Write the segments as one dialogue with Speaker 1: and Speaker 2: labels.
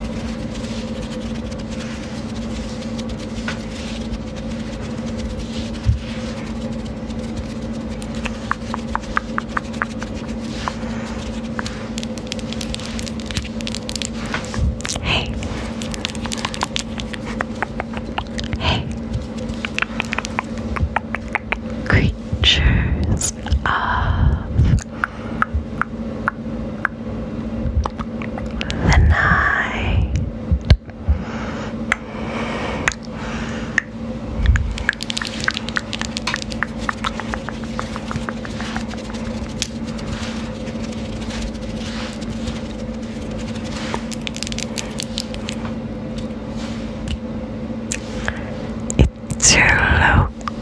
Speaker 1: Hey. Hey. Creatures of the night. It's your low go.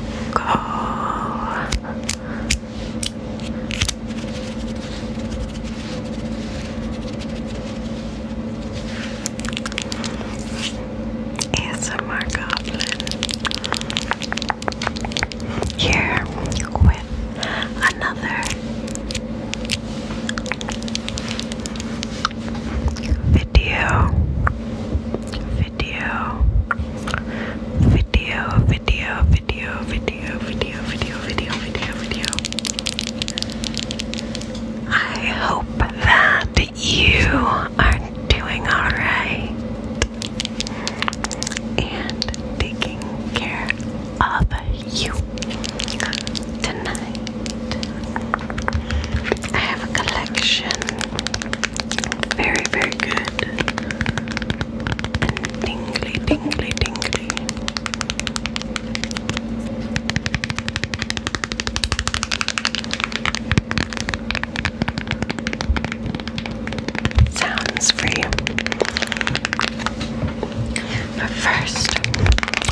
Speaker 1: ASMR Goblin here with another video video, video, video, video, video, video, video, video, video, video. I hope that you are doing alright and taking care of you tonight. I have a collection very, very good. And tingly, tingly, tingly. Sounds for you. But first,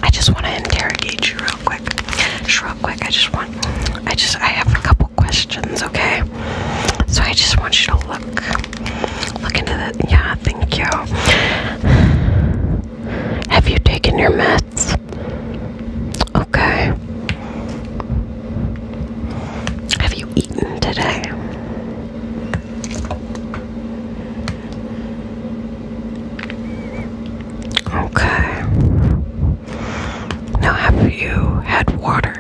Speaker 1: I just want to interrogate you real quick. Just real quick, I just want, I just, I have a couple questions, okay? So I just want you to look, look into the. Yeah, thank you. Have you taken your meds? Okay. Have you eaten today? Okay. Now, have you had water?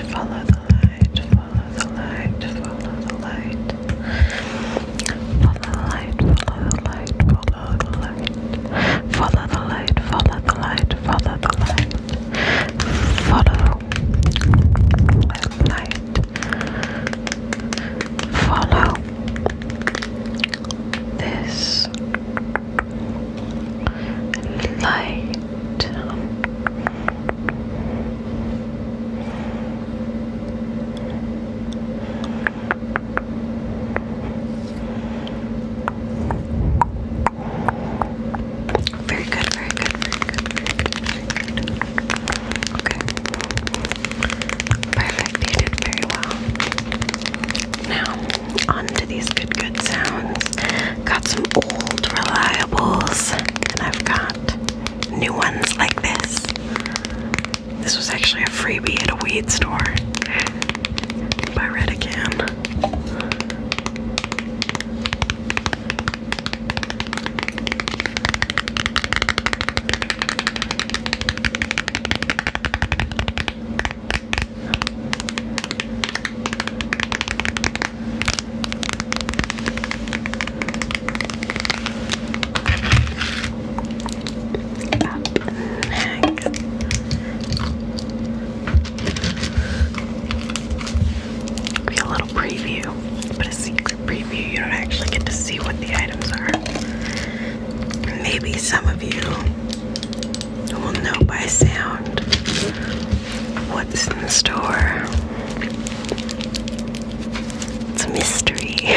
Speaker 1: light, follow the light, follow the light, follow the light. Follow the light, follow the light, follow the light. Follow the light, follow the light, follow the light. Follow the light. Follow this light. Very good, very good, very good, very good, very good. Okay. Perfect, you did very well. Now on to these good, good sounds. Got some old reliables, and I've got new ones like this. This was actually a freebie at a weed store by Redican. Be a little preview, but a secret preview. You don't actually get to see what the items are. Maybe some of you I will know by sound what's in store. It's a mystery.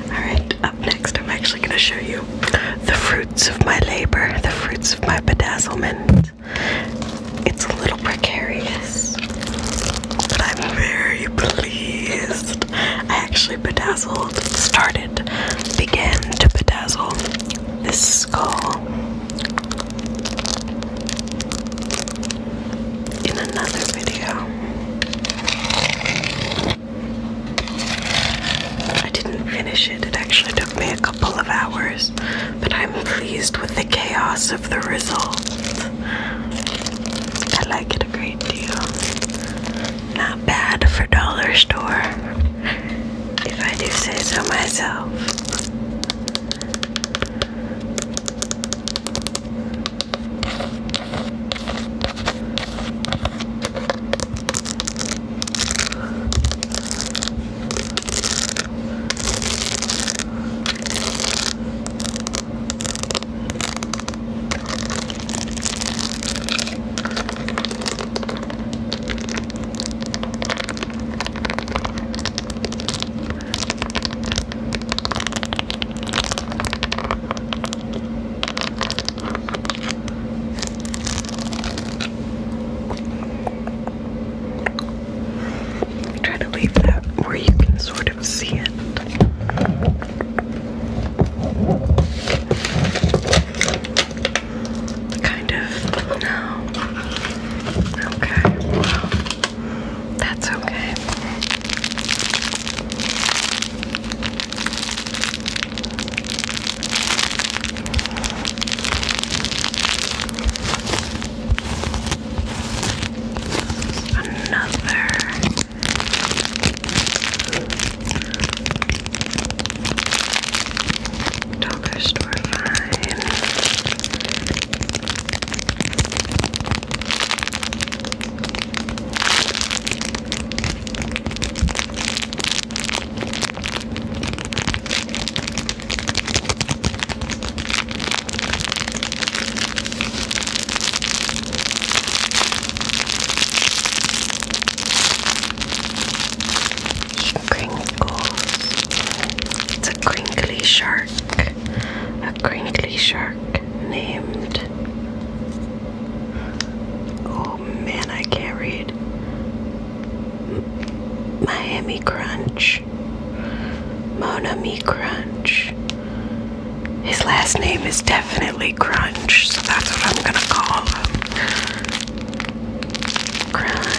Speaker 1: Alright, up next, I'm actually going to show you the fruits of my labor, the fruits of my bedazzlement. It's a little precarious, but I'm very pleased. I actually bedazzled, started it began to bedazzle this skull. In another video, I didn't finish it, it actually took me a couple of hours, but I'm pleased with the chaos of the result. I like it a great deal. Not bad for dollar store if I do say so myself. Try to leave that where you can sort of see it. Kind of. No. Okay. Well, that's okay. Another Dollar store fine. It's a crinkly shark. A crinkly shark named. Oh man, I can't read. Miami Crunch. Monami Crunch. His last name is definitely Crunch, so that's what I'm gonna call him. Crunch.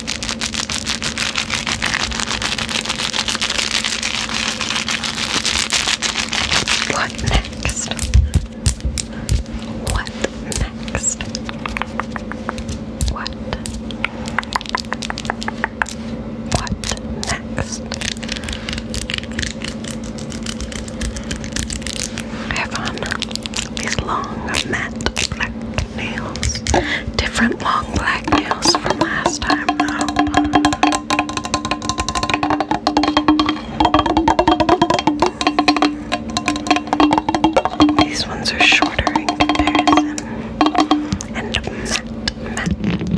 Speaker 1: What next? What next? What? What next? I have on these long matte black nails. Different long black nails from last time though. These ones are shorter in comparison. And matte, matte.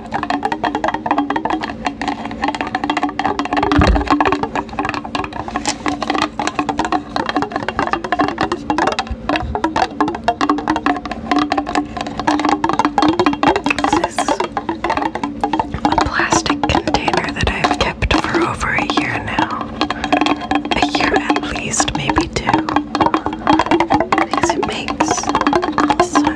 Speaker 1: This is a plastic container that I've kept for over a year now. A year at least, maybe two makes such good sounds.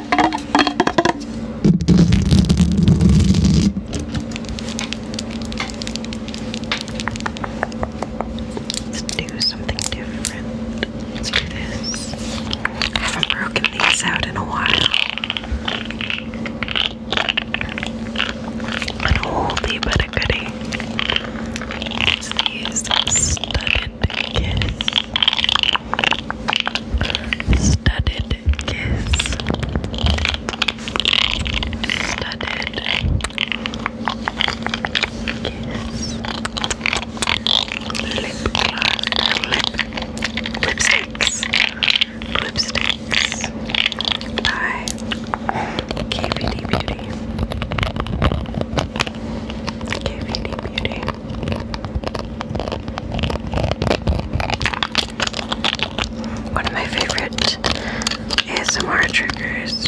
Speaker 1: Let's do something different. Let's do this. haven't broken these out in a while. An oldie but a goodie. these studded Studded kiss. Studded kiss. Lip gloss. Lipsticks. Lipsticks. By KVD Beauty. KVD Beauty. One of my favorite ASMR triggers.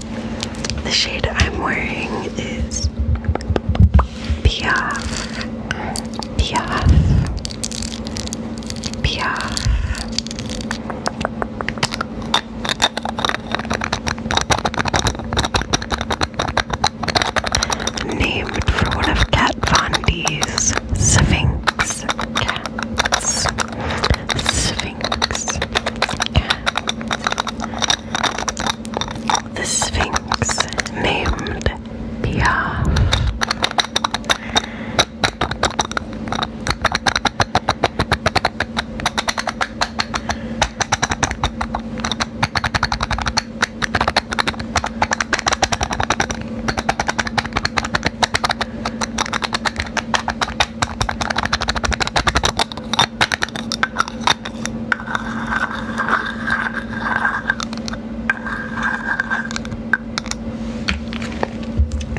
Speaker 1: The shade I'm wearing is Piaf, Piaf, Piaf. Named for one of Kat Von D's Sphinx cats. The Sphinx named Piaf.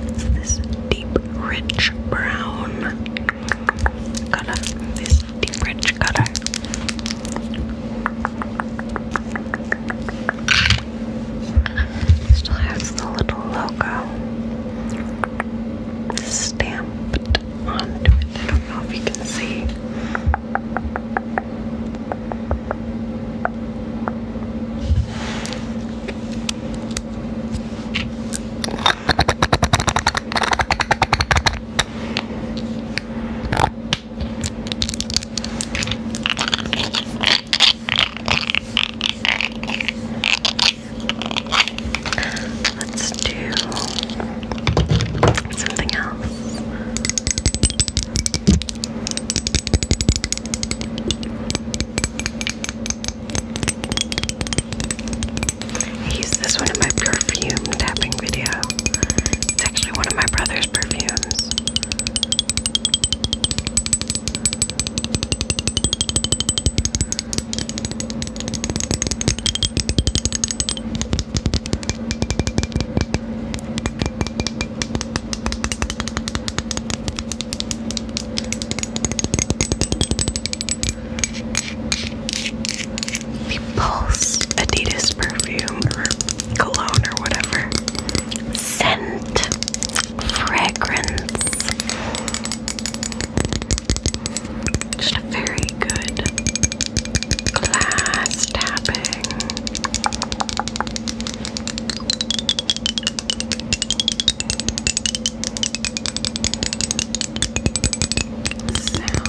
Speaker 1: It's this deep, rich brown color. This deep, rich color. Still has the little logo stamped onto it. I don't know if you can see. Let's do something else. I this one in my perfume tapping video. It's actually one of my brother's perfumes. The Pulse Adidas perfume or cologne or whatever. Scent, fragrance, just a very good glass tapping. Sound.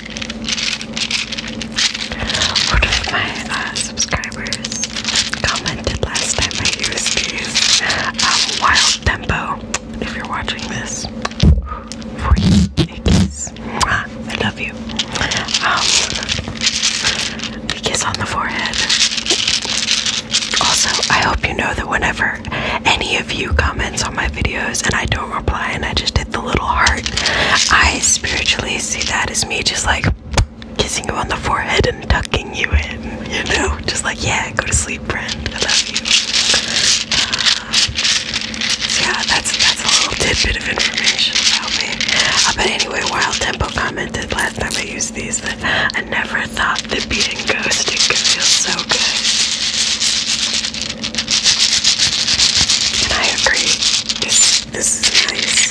Speaker 1: One of my uh, subscribers commented last time I used these Wild Tempo. If you're watching this, for you, a kiss. I love you. a um, kiss on the forehead. Also, I hope you know that whenever any of you comments on my videos and I don't do I just did the little heart. I spiritually see that as me just like kissing you on the forehead and tucking you in, you know? Just like, yeah, go to sleep, friend. I love you. Uh, yeah, that's that's a little tidbit of information about me. Uh, but anyway, Wild Tempo commented last time I used these that I never thought that being ghosted could feel so good. And I agree. This this is nice.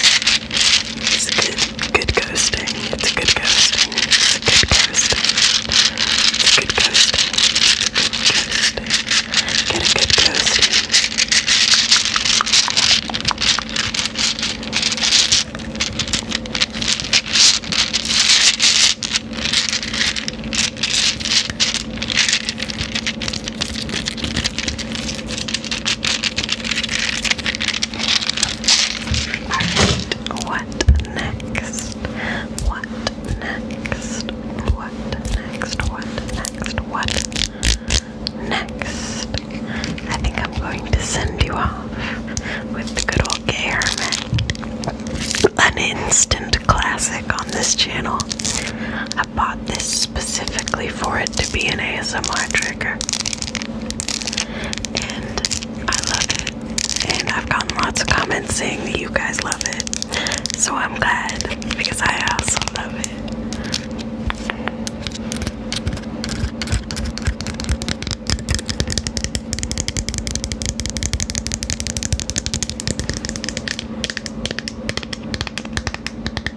Speaker 1: It's a good, good coasting. It's a good coasting. It's a good coasting. It's a good coasting. Get a good coasting what next? What next? What next? What next? What next? I think I'm going to send you off with the good old gay An instant classic on this channel. I bought this specifically for it to be an ASMR trigger. And I love it. And I've gotten lots of comments saying that you guys love it. So I'm glad because I also love it.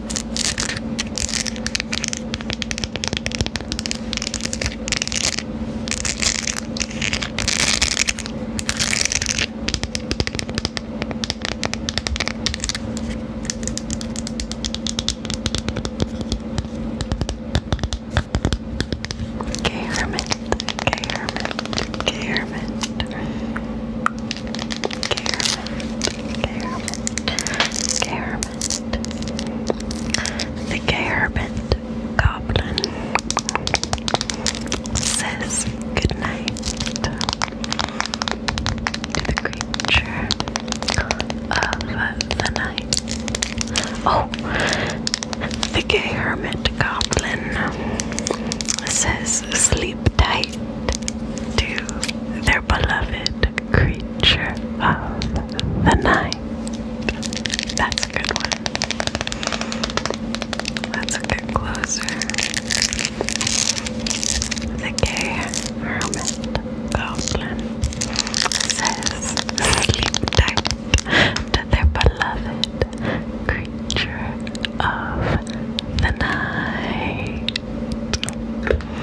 Speaker 1: Okay, Hermit. Okay, Hermit. Okay, Hermit. Okay, Okay, Okay, the Gay Herbant Goblin, says goodnight to the creature of the night. Oh, the Gay Hermit Goblin says sleep tight to their beloved creature creature of the night. That's a good one. Let's get closer. The goblin says, sleep to their beloved creature of the night.